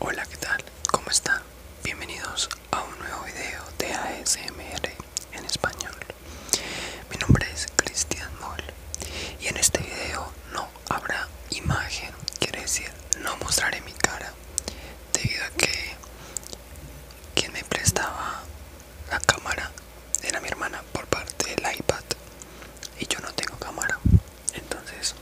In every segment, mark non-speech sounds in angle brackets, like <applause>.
Hola, ¿qué tal? ¿Cómo están? Bienvenidos a un nuevo video de ASMR en español. Mi nombre es Cristian Moll y en este video no habrá imagen, quiere decir, no mostraré mi cara debido a que quien me prestaba la cámara era mi hermana por parte del iPad y yo no tengo cámara entonces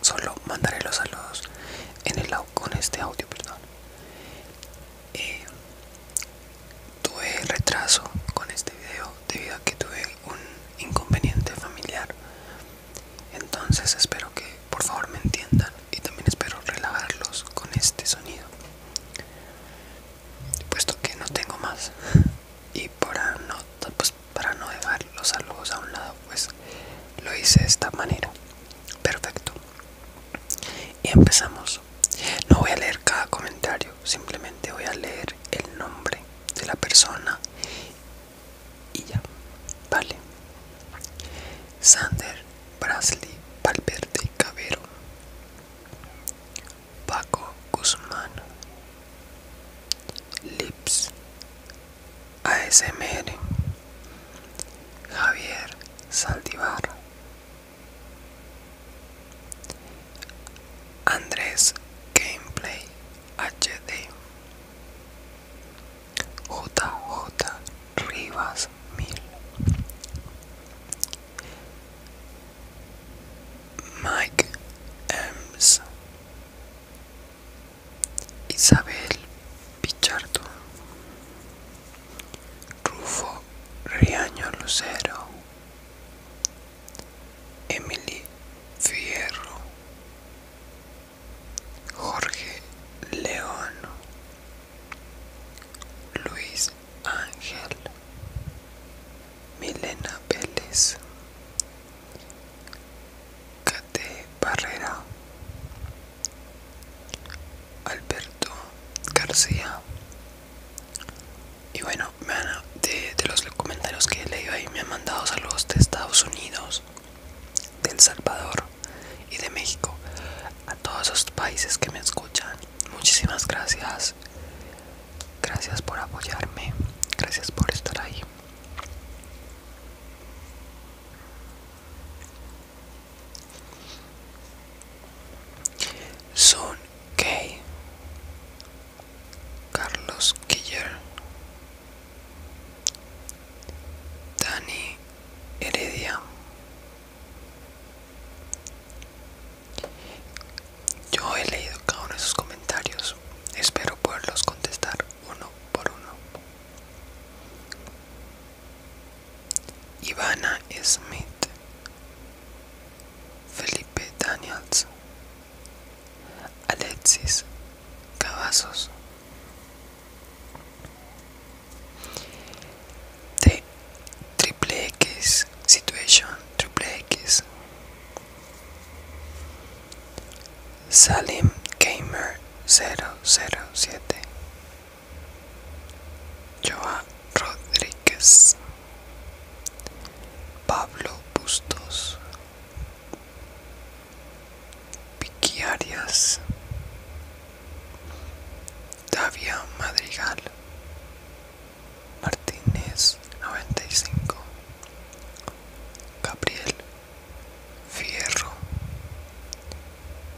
Solo mandaré los saludos en el, con este audio, perdón. Eh, tuve retraso con este video debido a que tuve un inconveniente familiar. Entonces espero que por favor me entiendan y también espero relajarlos con este sonido. Puesto que no tengo más <laughs> y para no pues, para no dejar los saludos a un lado, pues lo hice de esta manera. Perfecto. Y empezamos. No voy a leer cada comentario, simplemente voy a leer el nombre de la persona y ya. Vale. Sander Brasley Valverde Cabero. Paco Guzmán Lips ASMR Javier Saldivar Andrés Gameplay HD JJ Rivas Mil Mike Ems, Isabel Pichardo, Rufo Riaño Lucero, Emily Fierro, Jorge León, Luis Ángel, Milena Vélez, Kate Barrera, Alberto García. Y bueno, de, los comentarios que he leído ahí me han mandado saludos de Estados Unidos, de El Salvador y de México. A todos los países que me escuchan, muchísimas gracias. Gracias por apoyarme. Gracias por estar ahí. Son K. Carlos Killer. Dani Heredia. Yo he leído cada uno de sus comentarios. Espero poderlos contestar uno por uno. Ivana Smith, Felipe Daniels, Alexis Cavazos, T triple X, Situation triple X. Salim Gamer 007 Joa Rodríguez Pablo Bustos Vicky Arias Davia Madrigal Martínez 95 Gabriel Fierro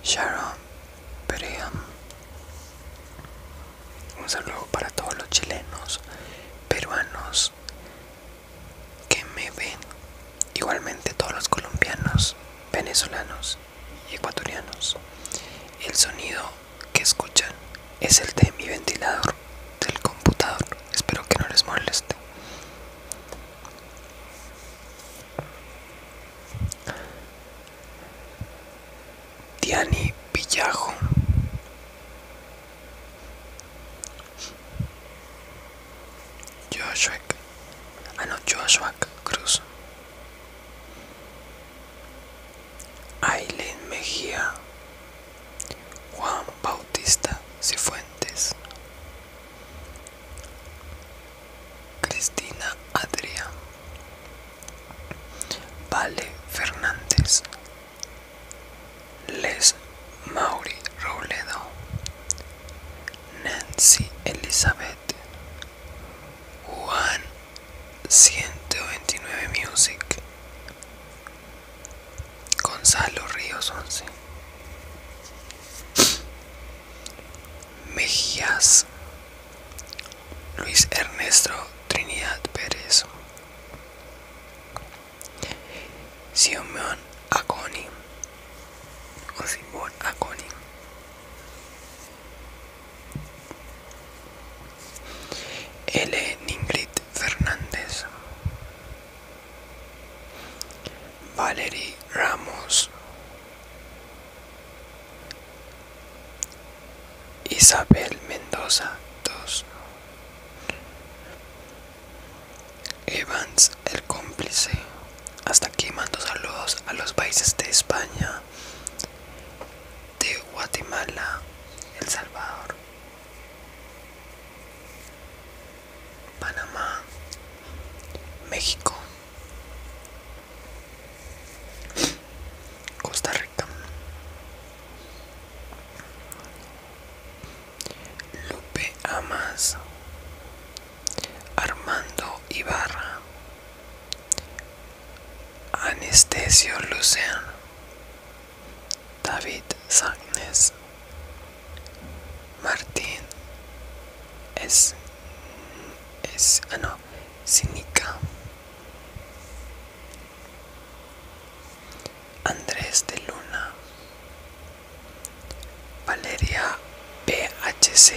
Sharon Perean Un saludo para todos los chilenos, peruanos que me ven, igualmente todos los colombianos, venezolanos y ecuatorianos. El sonido que escuchan es el de mi ventilador del computador. Espero que no les moleste. Diani Villajo. Joshua. Ah no, Joshua Cruz. Aileen Mejía, Juan Bautista Cifuentes, Cristina Adrián, Vale Fernández, Les Mauri Roledo Nancy Elizabeth, Juan 129 Music Gonzalo Ríos 11 Mejías Luis Ernesto Trinidad Pérez Simón Aconi o Simón Aconi L. Ingrid Fernández, Valerie Ramos, Isabel Mendoza 2, Evans el cómplice. Hasta aquí mando saludos a los países de España, de Guatemala, El Salvador, Panamá, México, Costa Rica, Lupe Amas, Armando Ibarra. Anestesio Luciano, David Sagnes, Martín es, es ah, no, Sinica, Andrés de Luna, Valeria PHC,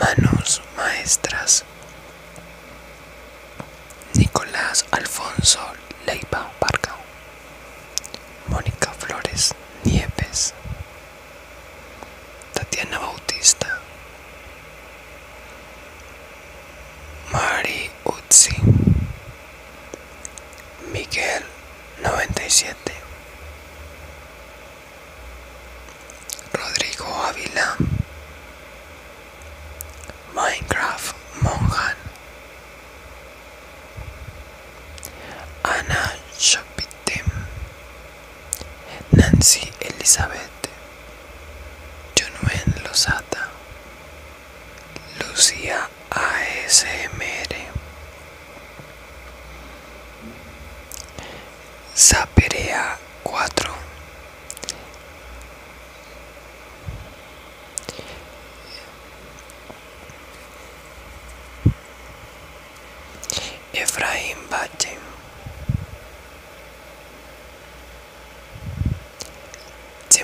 Manos maestras. Nicolás Alfonso Leiva Barca. Mónica Flores Nieves. Tatiana Bautista. Mari Utsi. Miguel 97 Rodrigo Ávila Minecraft Monjan Ana Chapitem Nancy Elizabeth Jonuen LOZATA Lucía ASMR Zaperea 4 Efraín Valle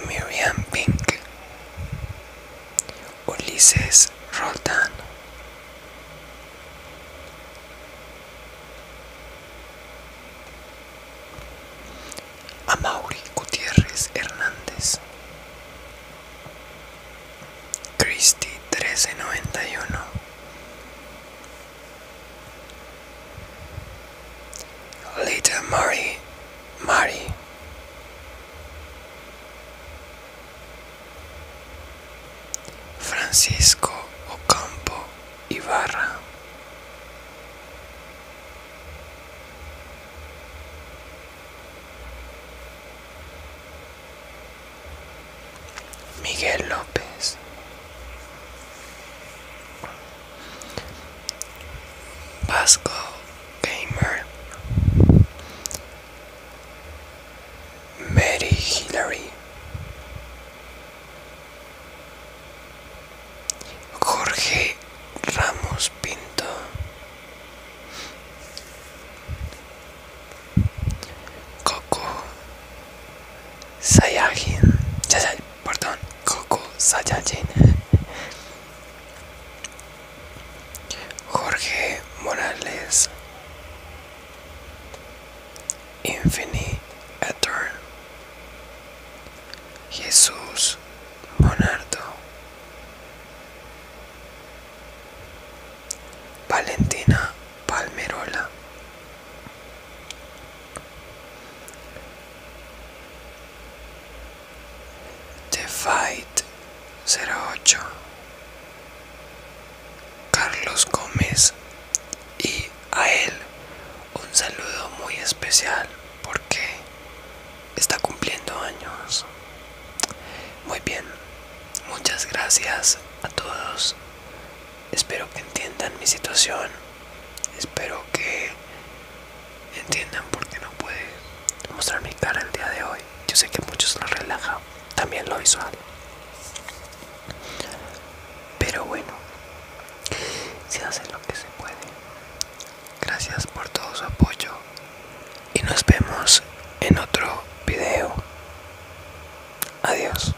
de Pink, Ulises Roldán, Amauri Gutiérrez Hernández, y 1391, Lita mari Mari Francisco Ocampo Ibarra. Miguel López. Vasco Gamer, Mary Hillary, Jorge Ramos Pinto, Coco Sayagin, Perdón, Coco Saiyajin. Jorge Morales. Infini Etern. Jesús Monardo. Valentina Palmerola. The Fight 08 Carlos Gómez y a él un saludo muy especial porque está cumpliendo años. Muy bien, muchas gracias a todos Espero que entiendan mi situación. Espero que entiendan por qué no puede mostrar mi cara el día de hoy. Yo sé que muchos lo relajan también lo visual. Pero bueno, se hace lo que se puede. Gracias por todo su apoyo y nos vemos en otro video. Adiós.